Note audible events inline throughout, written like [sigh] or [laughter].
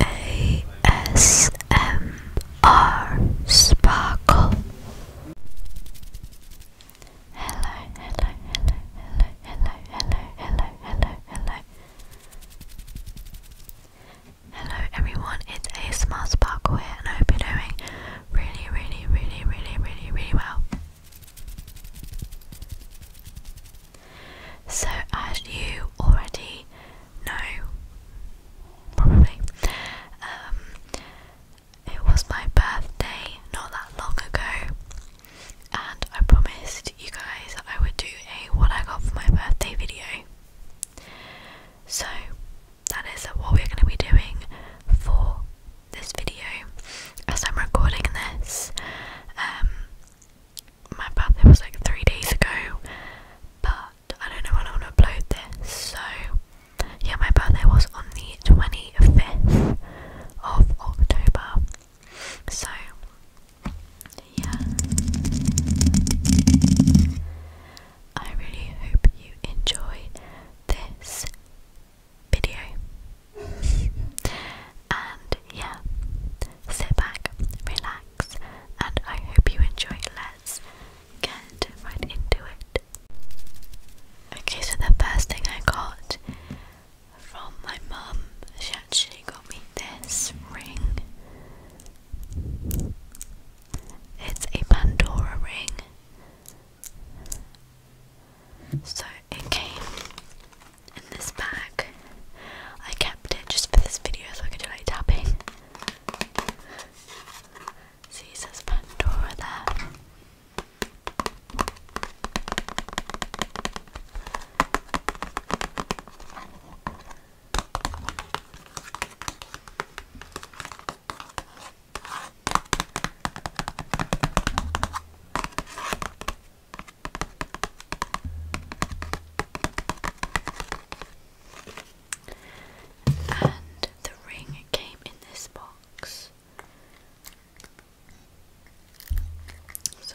ASMR Sparkle. Hello, hello, hello, hello, hello, hello, hello, hello, hello. Hello everyone, it's ASMR Sparkle here and I hope you're doing really, really, really, really, really, really well. So, as you already know, probably, um, it was my birthday not that long ago, and I promised you guys I would do a what I got for my birthday video. So, that is what we're going to be doing for this video as I'm recording this. Um, my birthday was like three days ago, but I don't know when I'm gonna upload this. So, yeah, my birthday was on the 25th of October. So, yeah. I really hope you enjoy this video. [laughs] And yeah, sit back, relax, and I hope you enjoy. Let's get right into it. Okay, so the first thing I got from my mum, she actually got me this ring. It's a Pandora ring. So it came in this bag. I kept it just for this video so I can do like tapping. See, it says Pandora there. And the ring came in this box. So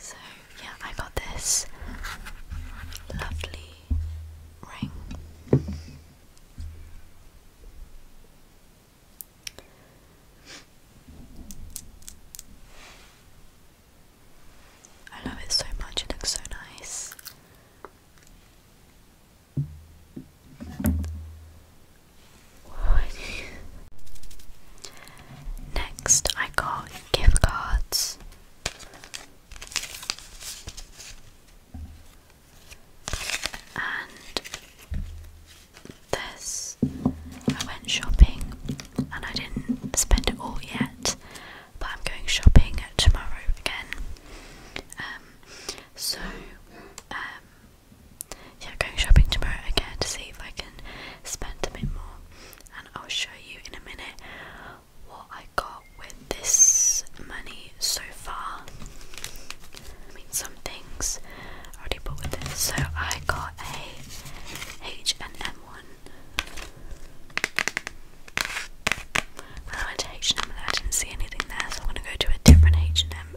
So, yeah, I got this lovely ring. I love it so much, it looks so nice. [laughs] Next, I got gift cards. And this, I went shopping and I didn't spend it all yet, but I'm going shopping tomorrow again. Um, so, um, yeah, going shopping tomorrow again to see if I can spend a bit more, and I'll show you in a minute what I got with this money so far. I mean, some things I already bought with it. So I got a H and M one. When I went to H&M I didn't see anything there, so I'm gonna go to a different H&M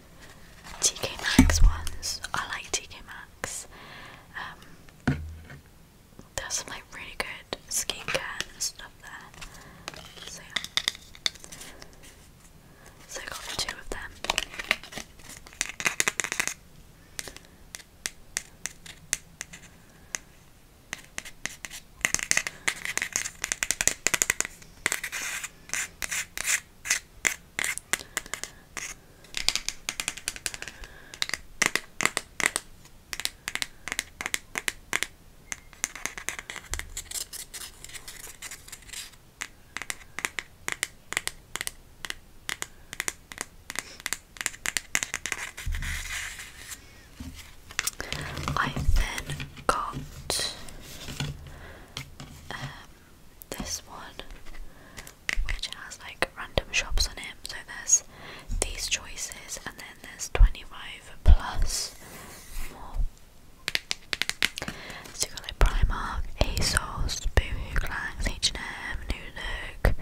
TK Maxx ones. I like TK Maxx. Um, there's some like really good skincare stuff there. So yeah. So I got two of them. I then got um, this one, which has like random shops on it. So there's these choices, and then there's 25 plus more. So you got like Primark, ASOS, Boohoo, Clangs, H&M, New Look,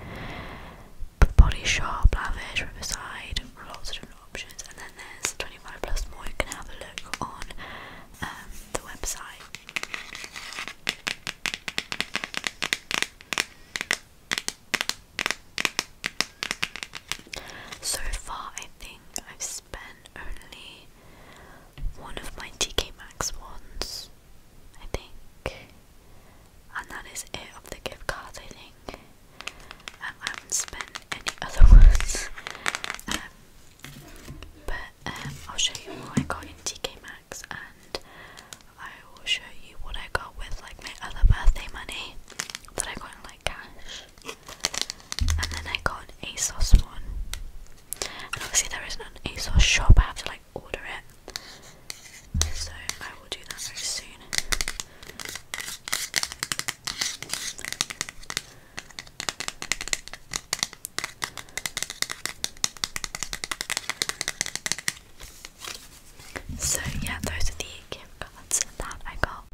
Body Shop, Lavish, Riverside, lots of different options. And then there's 25 plus more. You can have a look on um, the website. So far, I think I've spent only one of my TK Maxx ones, I think, and that is it of the gift cards. I think um, I haven't spent any [laughs] other ones. Um, but um, I'll show you what I got in TK Maxx and I will show you what I got with like my other birthday money that I got in like cash. And then I got an ASOS one. And obviously there isn't an ASOS shop, I have to like order it. So I will do that very soon. So, yeah, those are the gift cards that I got.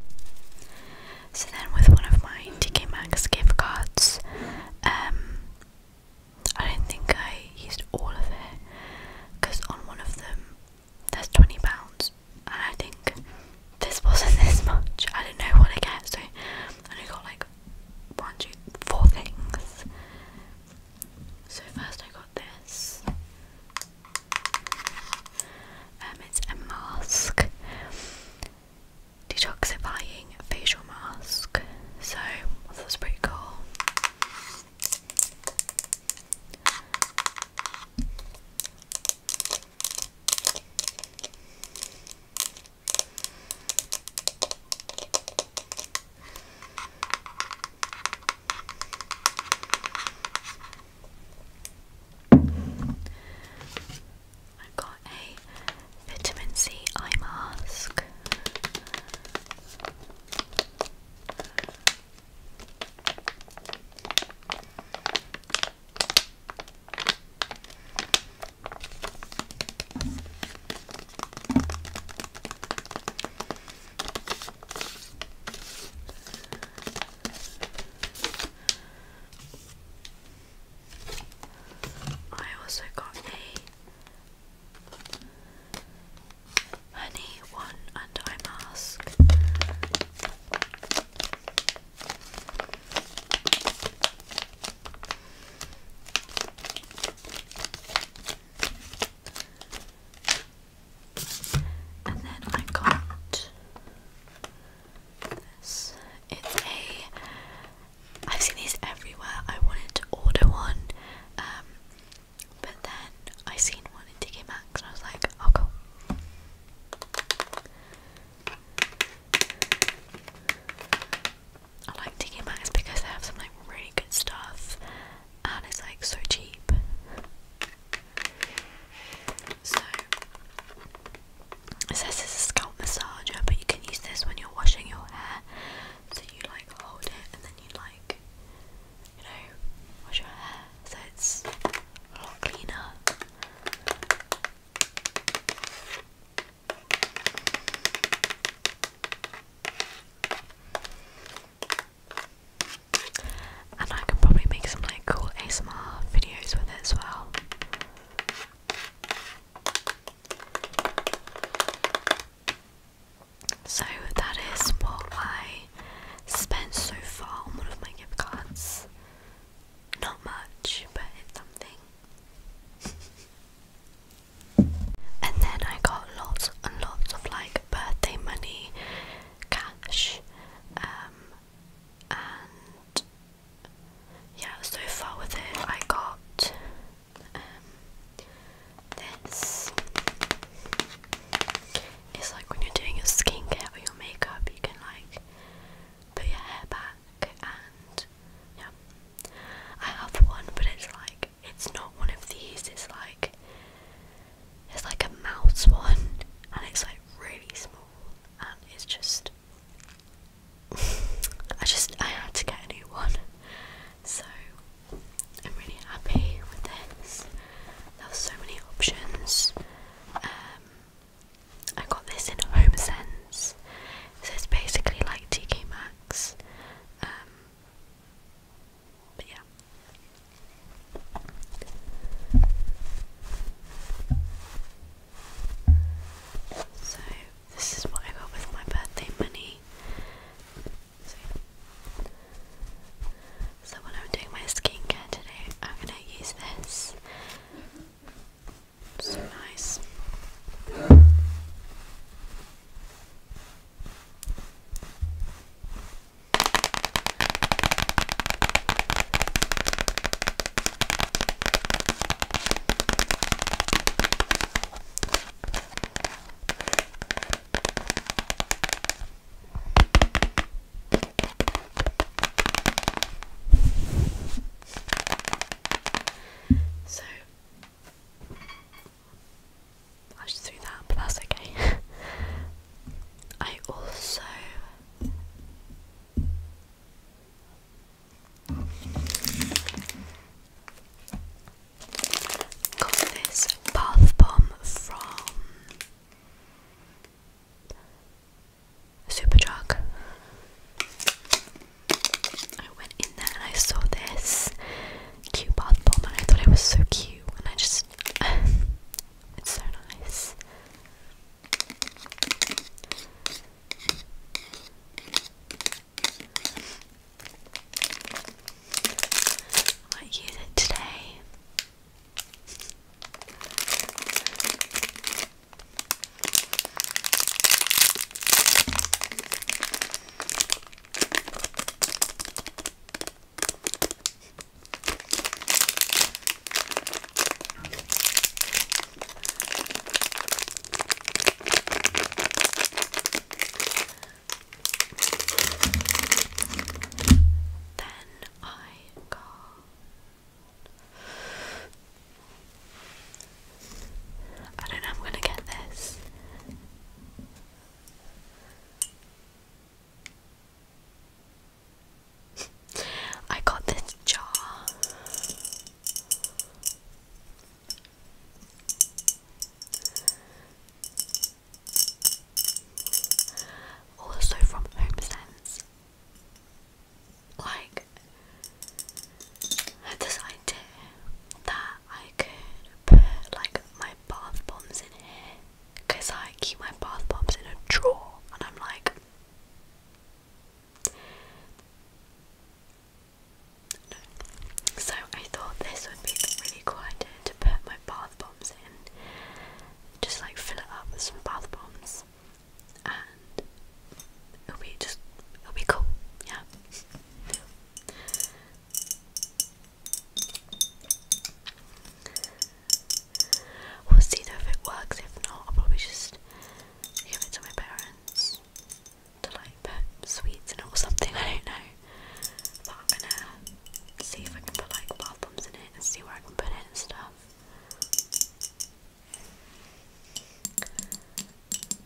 So, then with one of my TK Maxx gift cards, um, I don't think I used all of it because on one of them there's £20, and I think this wasn't this much. I don't know what I get, so I only got like one, two, four things. So first I got this. Um, it's a mask, detoxifying facial mask. So that's pretty cool. I've got a vitamin C eye mask. I also got a honey one eye mask. And then I got this. It's a. I've seen these everywhere. I wanted to order one, um, but then I seen one in TK Maxx and I was like, oh cool. I like TK Maxx because they have some like really good stuff and it's like so cheap. So it says it's a scalp massager, but you can use this when you're washing your hair. So you like hold it and then you like you know wash your hair so it's a lot cleaner. And I can probably make some like cool ASMR videos with it as well. So that is what I spent so far on one of my gift cards. Not much, but it's something and then I got lots and lots of like birthday money, cash, um, and yeah, so far with it, I got um, this. It's like when you're doing your skincare or your makeup, you can like put your hair back and yeah. I have one, but it's like it's not one of these. It's like it's like a mouse one, and it's like really small, and it's just. [laughs] I just I had to get a new one, so I'm really happy with this. There were so many options, um, I got this in Home Sense, so it's basically like TK Maxx. Um, yeah. So this is what I got with my birthday money. so when I'm doing my skincare today, I'm gonna use this. So nice. So I just threw that, but that's okay. [laughs] I also got this bath bomb from super drug. I went in there and I saw this cute bath bomb and I thought it was so cute and I just [laughs] it's so nice. I use it today. Then I got I don't know, I'm gonna get this. I got this jar. Also from HomeSense like had this idea that I could put like my bath bombs in here because I keep my bath bombs in a drawer and I'm like So I thought this would be a really cool idea to put my bath bombs in. Just like fill it up with some bath bombs it'll be just it'll be cool, yeah. We'll see though if it works. If not, I'll probably just give it to my parents to like put sweets in it or something. [laughs] I don't know. But I'm gonna see if I can put like bath bombs in it and see where I can put it and stuff.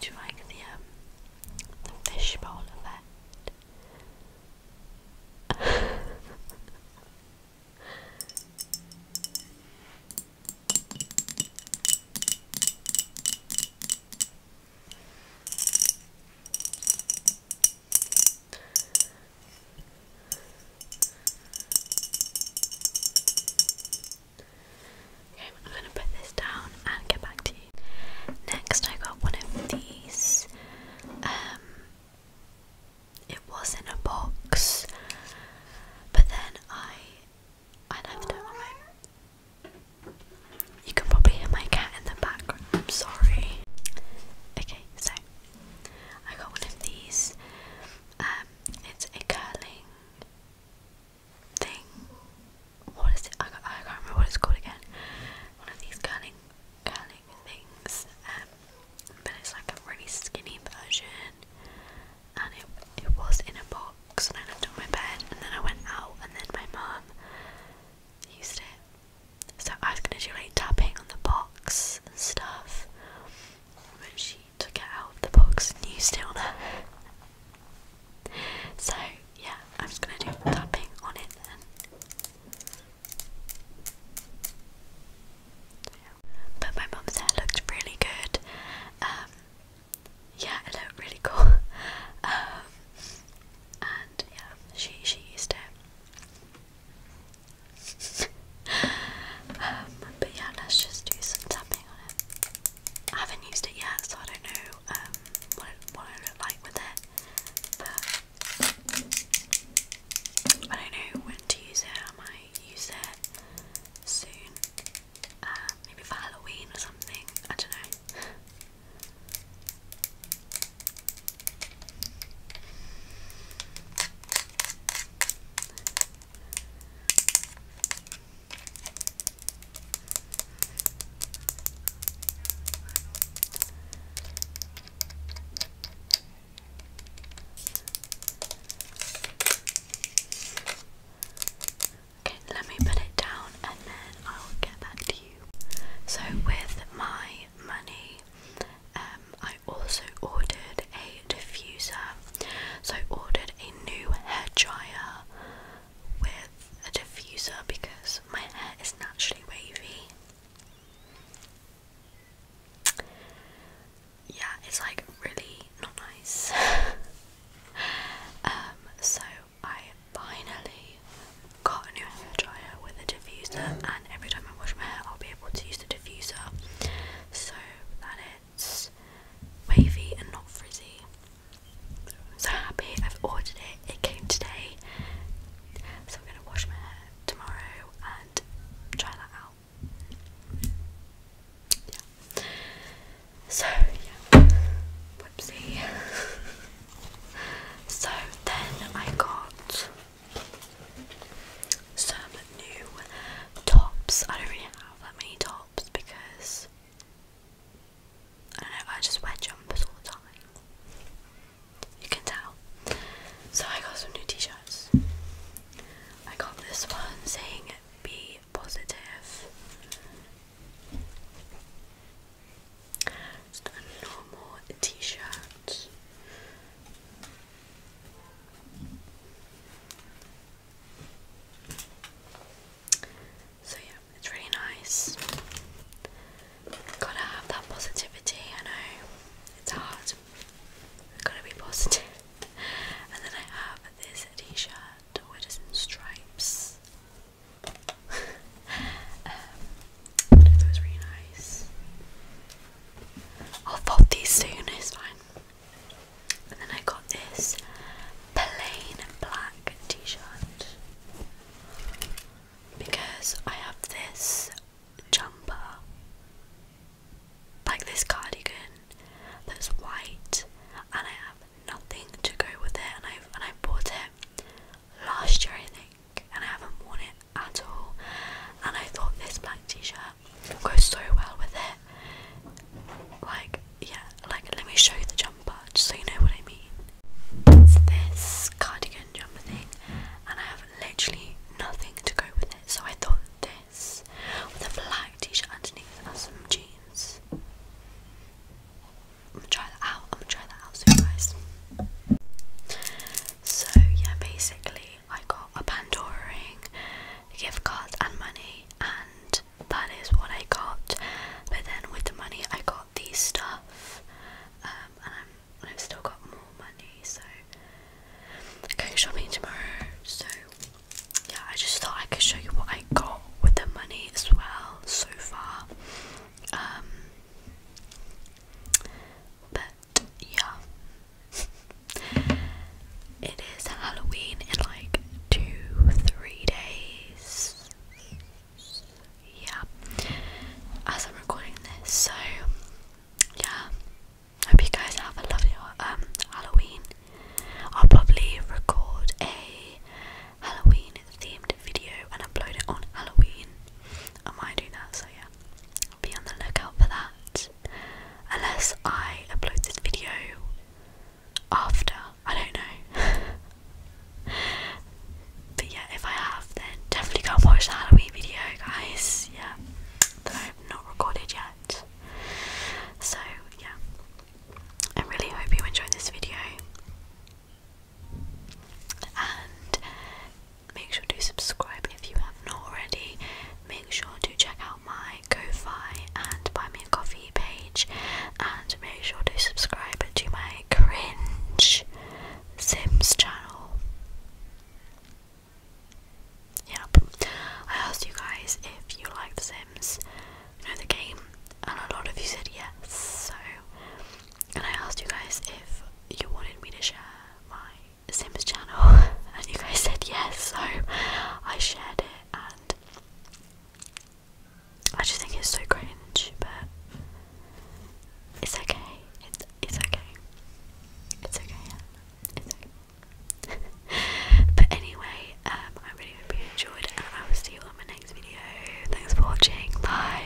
Do you like the um, the fishbowl effect? [laughs] Okay, I'm gonna put this down and get back to you. Next, I got one of these. Um, it was in a box, but then I I left it you can probably hear my cat in the background. I'm sorry. Okay, so I got one of these. Um, it's a curling thing. What is it? I, I can't remember what it's called again. One of these curling, curling things. Um, but it's like a really skinny version. And it it was in a box, and I left it on my bed. And then I went out, and then my mum used it. So I was gonna do like tapping on the box and stuff. But she took it out of the box and used it on her. So yeah, I'm just gonna do tapping on it then. Yeah. But my mum said it looked really good. Um, yeah, it looked really cool. [laughs] Um, and yeah, she she used it. Um, but yeah, let's just do some tapping on it. I haven't used it yet, so I don't know um, what what I look like with it. But I don't know when to use it. I might use it soon. Uh, maybe for Halloween or something. I don't know. Okay, let me put it down and then I'll get back to you. So with my money, um, I also ordered a diffuser. So I ordered a new hair dryer with a diffuser because my hair is naturally wavy. Yeah, it's like really not nice. [laughs] Um, so I finally got a new hair dryer with a diffuser and every time I wash my hair I'll be able to use the diffuser so that it's wavy and not frizzy. so happy I've ordered it, it came today. So I'm gonna wash my hair tomorrow and try that out. Yeah. So yeah. Whoopsie. [laughs] So then I got some new tops. I don't really have that many tops because I know, I just wear jumpers all the time. You can tell. So I got some new t shirts. I got this one saying be positive. Just a normal t-shirt. So yeah, it's really nice. Gotta have that positivity, I know. It's hard. Gotta be positive. [laughs] And then I have this t-shirt, which is in stripes that um, was really nice. I'll pop these soon, it's fine. And then I got this plain black t shirt because I have this jumper, like this cardigan that's white, and I have nothing to go with it. And I and I bought it last year I think and I haven't worn it at all and I thought this black t-shirt would go so well with it like yeah like let me show you the jumper just so you know what I mean it's this cardigan jumper thing and I have literally nothing to go with it so I thought this with a black t-shirt underneath and some jeans I'm gonna try that out. I'm gonna try that out soon, guys. So yeah, basically I got a Pandora ring, gift card, and money, and that is what I got. But then with the money, I got these stuff, um, and i have still got more money, so going shopping tomorrow. So yeah, I just thought I could show you what I got with the money as well so far. Um, but yeah. [laughs] it is Halloween in like two, three days. Yeah. As I'm recording this, so yeah. Hope you guys have a lovely um Halloween. I'll probably record a Halloween themed video and upload it on Halloween. Am I doing that, so yeah, be on the lookout for that. Unless I upload this video after, I don't know. [laughs] but yeah, if I have, then definitely go and watch the Halloween video, guys. Yeah, that I've not recorded yet. So yeah, I really hope you enjoyed this video and make sure to subscribe if you have not already. Make sure to check out my ko and Buy Me a Coffee page, and make sure to subscribe to my Cringe Sims channel. Yeah, I asked you guys if you like Sims, you know the game, and a lot of you said yes. So and I asked you guys if you wanted me to share my Sims channel, [laughs] and you guys said yes, so I shared it, and I just think it's so cringe, but it's okay. It's okay. It's okay. Yeah. It's okay. [laughs] but anyway, um, I really hope you enjoyed, and I will see you on my next video. Thanks for watching. Bye.